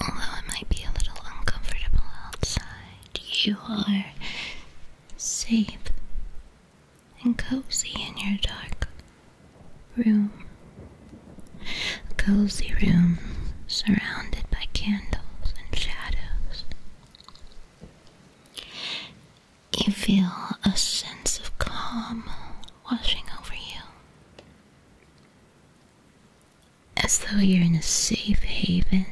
Although it might be a little uncomfortable outside, you are safe and cozy in your dark room. A cozy room surrounded by candles and shadows. You feel a sense of calm washing over you. As though you're in a safe haven.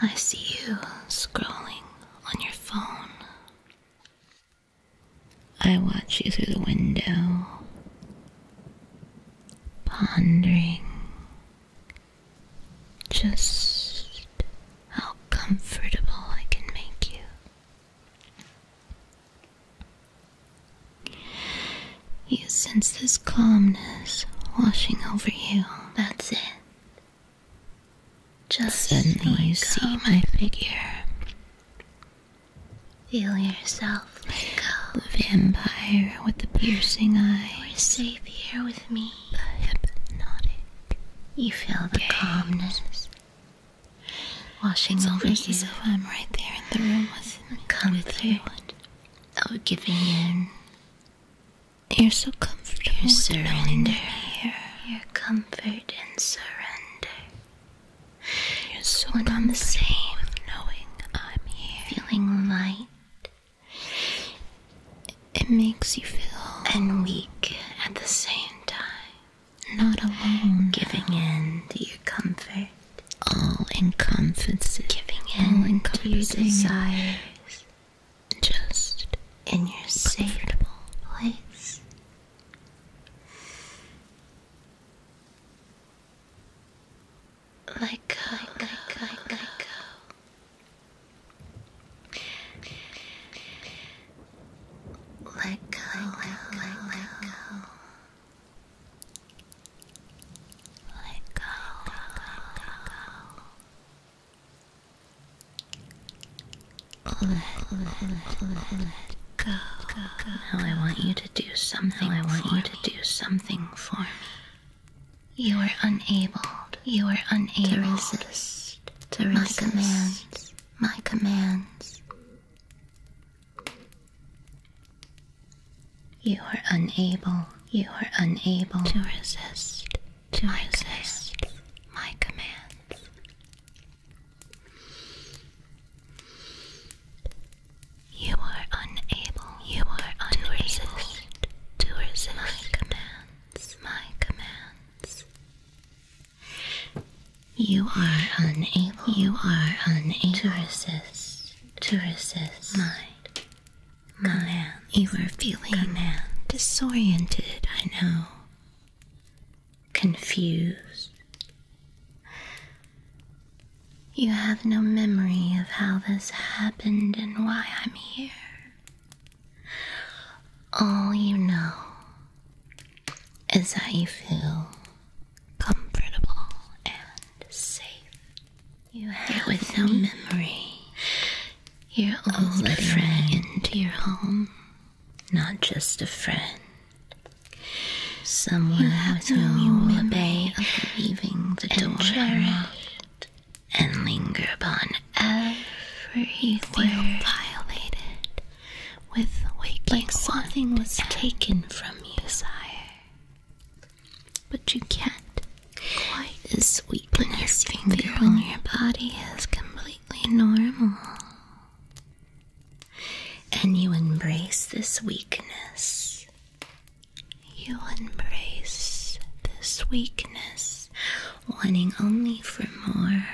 I see you scrolling on your phone. I watch you through the window, pondering just how comfortable I can make you. You sense this calmness washing over you. That's it. Just suddenly you see my figure. Feel yourself. Go. The vampire with the piercing eyes. You're safe here with me. The hypnotic. You feel the calmness washing over you. As if I'm right there in the room with me. Come with you. I'll give in. You're so comfortable. Your surrender here. Your comfort and surrender. You're so One on the same knowing I'm here. Feeling light. It makes you feel and weak at the same time. Not alone. Giving in to your comfort all encompassing, giving in to your desires, just in your safe place. Let go, let go, let go. Let go, let go. Let go. Let, let, let, let go. Now I want you to do something. Now I want you me. to do something for me. You are unable. You are unable to resist. To resist. my commands. My commands. You are unable, you are unable to resist, to resist my commands. You are unable, you are unable to resist, to resist my commands, my commands. You are unable, you are unable to resist to resist mind. Command. You were feeling disoriented, I know. Confused. You have no memory of how this happened and why I'm here. All you know is that you feel comfortable and safe. You with no memory your old friend into your home. Not just a friend. Someone you have to no obey of leaving the door unlocked and linger upon everything violated with waking like something was taken from you. sire. But you can't. Quite as sweetness you feel on your body is completely normal. And you embrace this weakness. You embrace this weakness, wanting only for more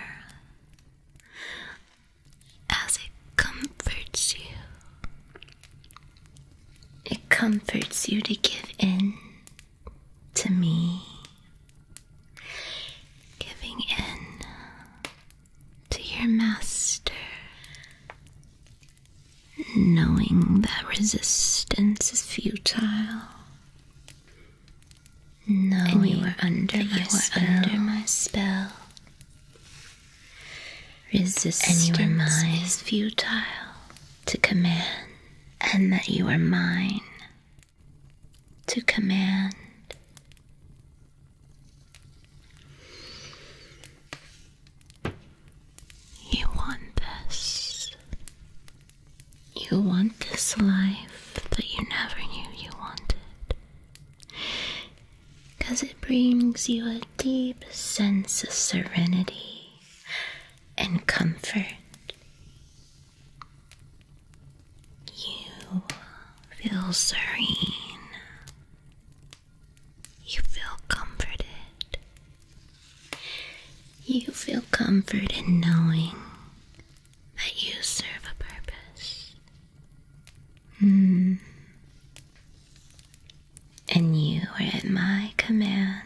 as it comforts you. It comforts you to give in to me, giving in to your master, knowing that resistance is futile. Knowing and you are Are under my spell. Resistance and your mind is futile to command, and that you are mine to command. You want this. You want this life that you never knew you wanted because it brings you a deep sense of serenity and comfort. You feel serene, you feel comforted. You feel comforted in knowing that you serve a purpose Hmm. And you are at my command.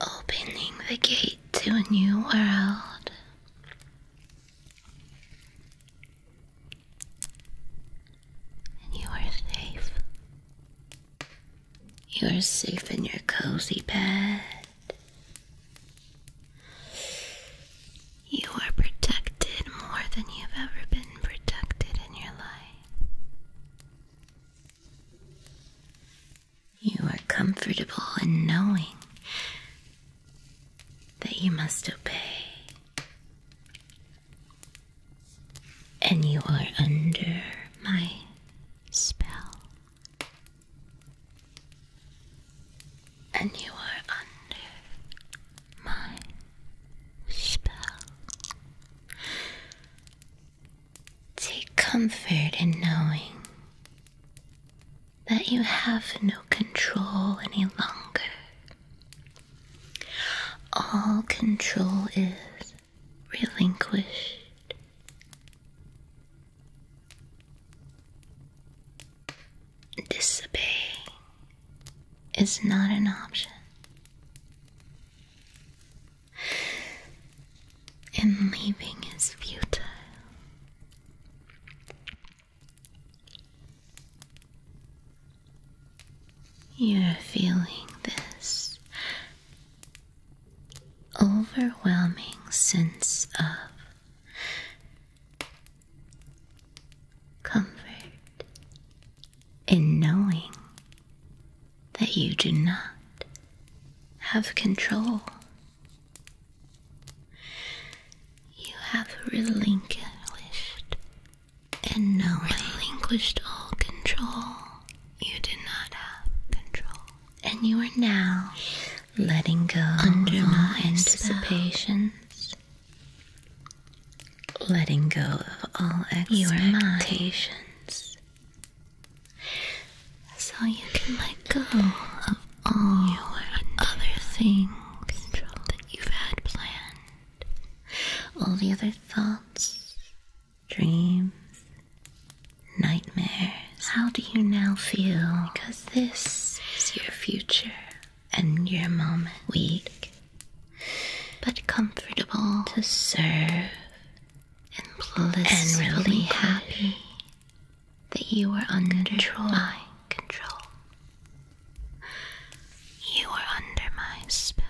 Opening the gate to a new world. And you are safe. You are safe in your cozy bed. You are protected more than you've ever been protected in your life. You are comfortable in knowing that you must obey, and you are under my spell. And you are under my spell. Take comfort in knowing that you have no control any longer. All control is relinquished Disobey is not an option. And leaving is futile. You're feeling this overwhelming sense of Comfort in knowing that you do not have control. You have relinquished and now relinquished all control. You did not have control. And you are now letting go of all anticipations, letting go of all expectations, so you can let go of all your other things that you've had planned, all the other thoughts, dreams, nightmares. How do you now feel? Because this is your future and your moment. Weak, but comfortable to serve and blissfully really happy that you are under my control. You are under my spell.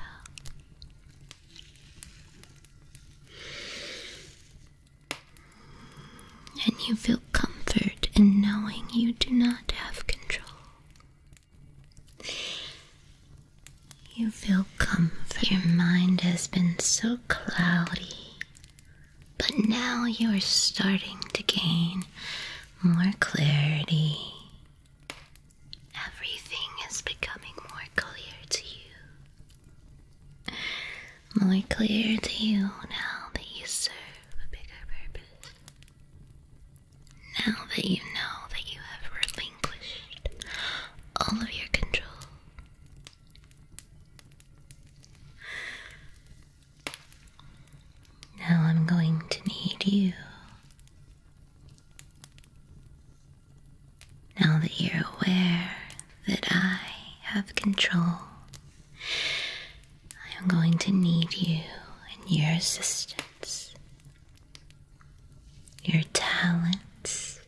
And you feel comfort in knowing you do not have control. You feel comfort. Your mind has been so cloudy, but now you are starting to gain more clarity. Everything is becoming more clear to you. More clear to you now that you serve a bigger purpose. Now that you know that you have relinquished all of your control. Now I'm going to need you now that you're aware that I have control, I am going to need you and your assistance. Your talents.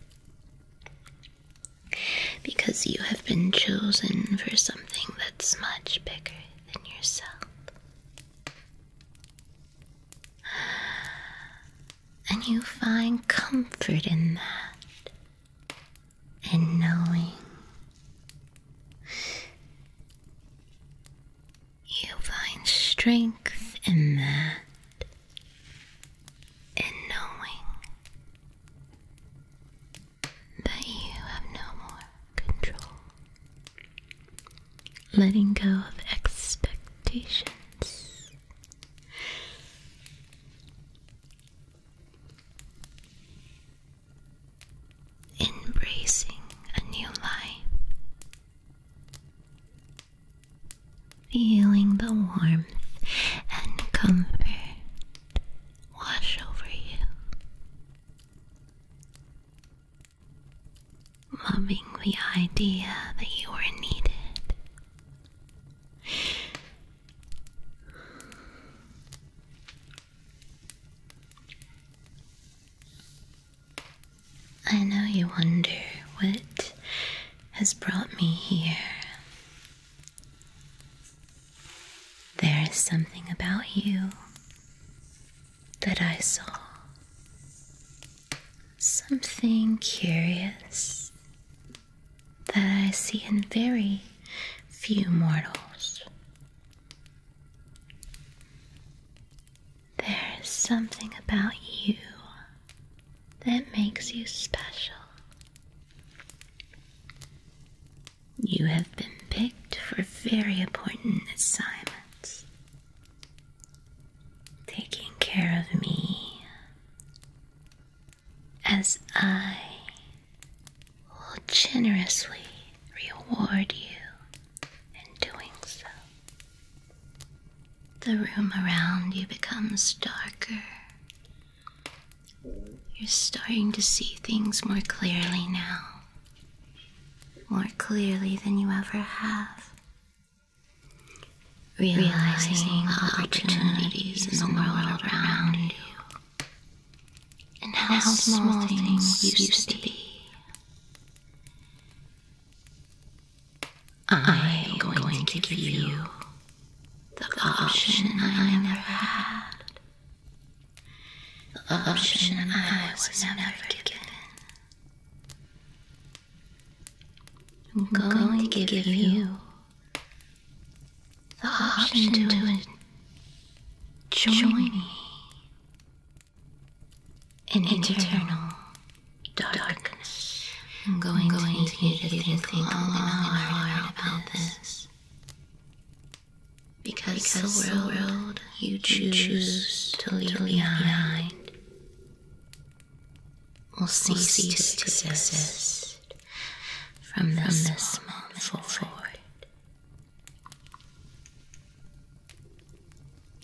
Because you have been chosen for something that's much bigger than yourself and you find comfort in that, in knowing you find strength in that, in knowing that you have no more control. Letting go of expectations Embracing a new life, feeling the warmth and comfort wash over you, loving the idea that you are needed I know you wonder what has brought me here. There is something about you that I saw. Something curious that I see in very few mortals. There is something about you that makes you special. You have been picked for very important assignments. Taking care of me as I will generously reward you in doing so. The room around you becomes darker. You're starting to see things more clearly now, more clearly than you ever have realizing the opportunities in the world around you, and how small things used to be. I am going to give you the option I never had, the option I was never given. I'm going, to give, you the option to, join, me in eternal darkness. I'm going, I'm going to need you to think long and hard about this. Because, the world, you choose, choose to leave behind will cease, will cease to, exist from this, this moment forward.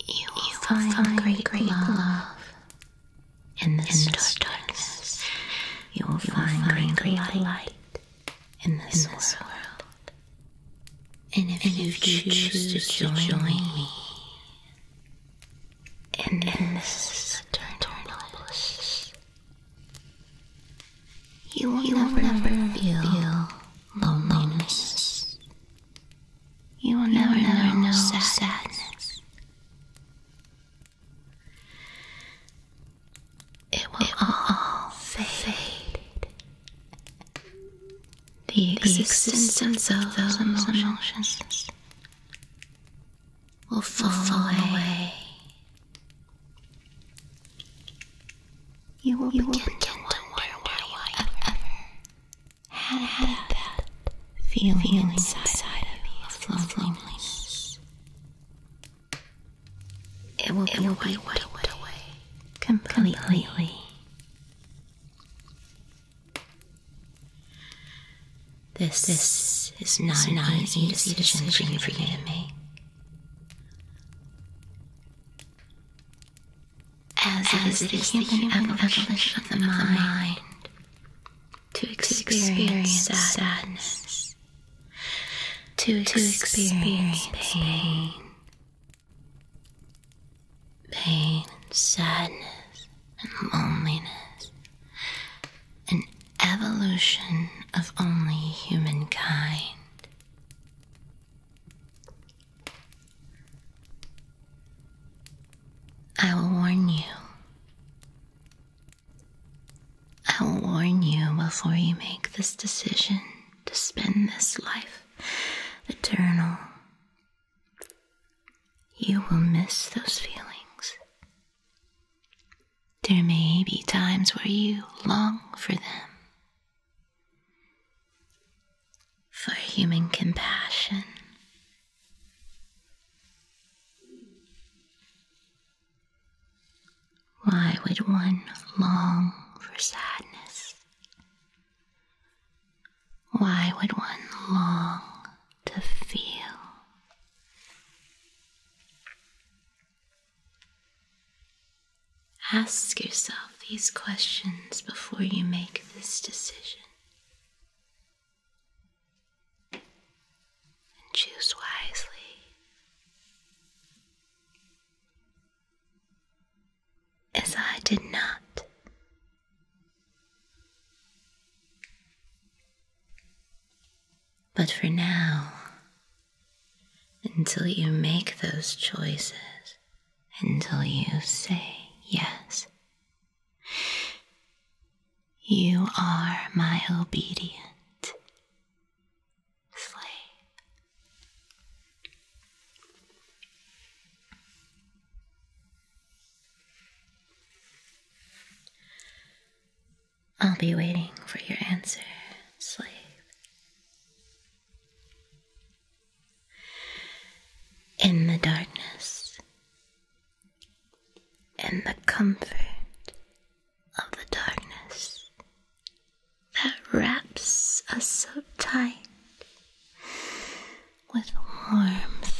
You will, find, great, love, love in this, in darkness. You will find, great, light, in this, world. And if, you, choose, to join me in this eternal bliss. You will, you never, will never feel, feel loneliness. You will never, never know sadness. sadness. It will, all fade the existence, of those emotions, will fall, will away. You will begin, to wonder why you ever, ever had, had that, feeling, inside, of you of loneliness. loneliness. It will, be, wiped away, completely. This, is not, an easy, decision, for you to make. As, it is the evolution, of the mind, to experience, sadness, to, experience, pain, pain sadness and loneliness, an evolution of only humankind. I will warn you. I will warn you before you make this decision to spend this life eternal you will miss those feelings. There may be times where you long for them, for human compassion. Why would one long for sadness? Why would one long to feel? Ask yourself these questions before you make this decision. And choose wisely as I did not. But for now, until you make those choices, until you say yes, you are my obedient slave. I'll be waiting for your answer, slave. In the darkness, in the comfort of the darkness that wraps us so tight with warmth.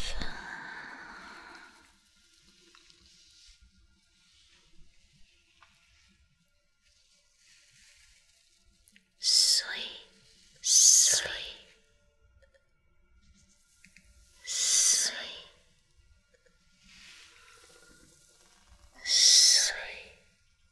Sleep, sleep, sleep, sleep,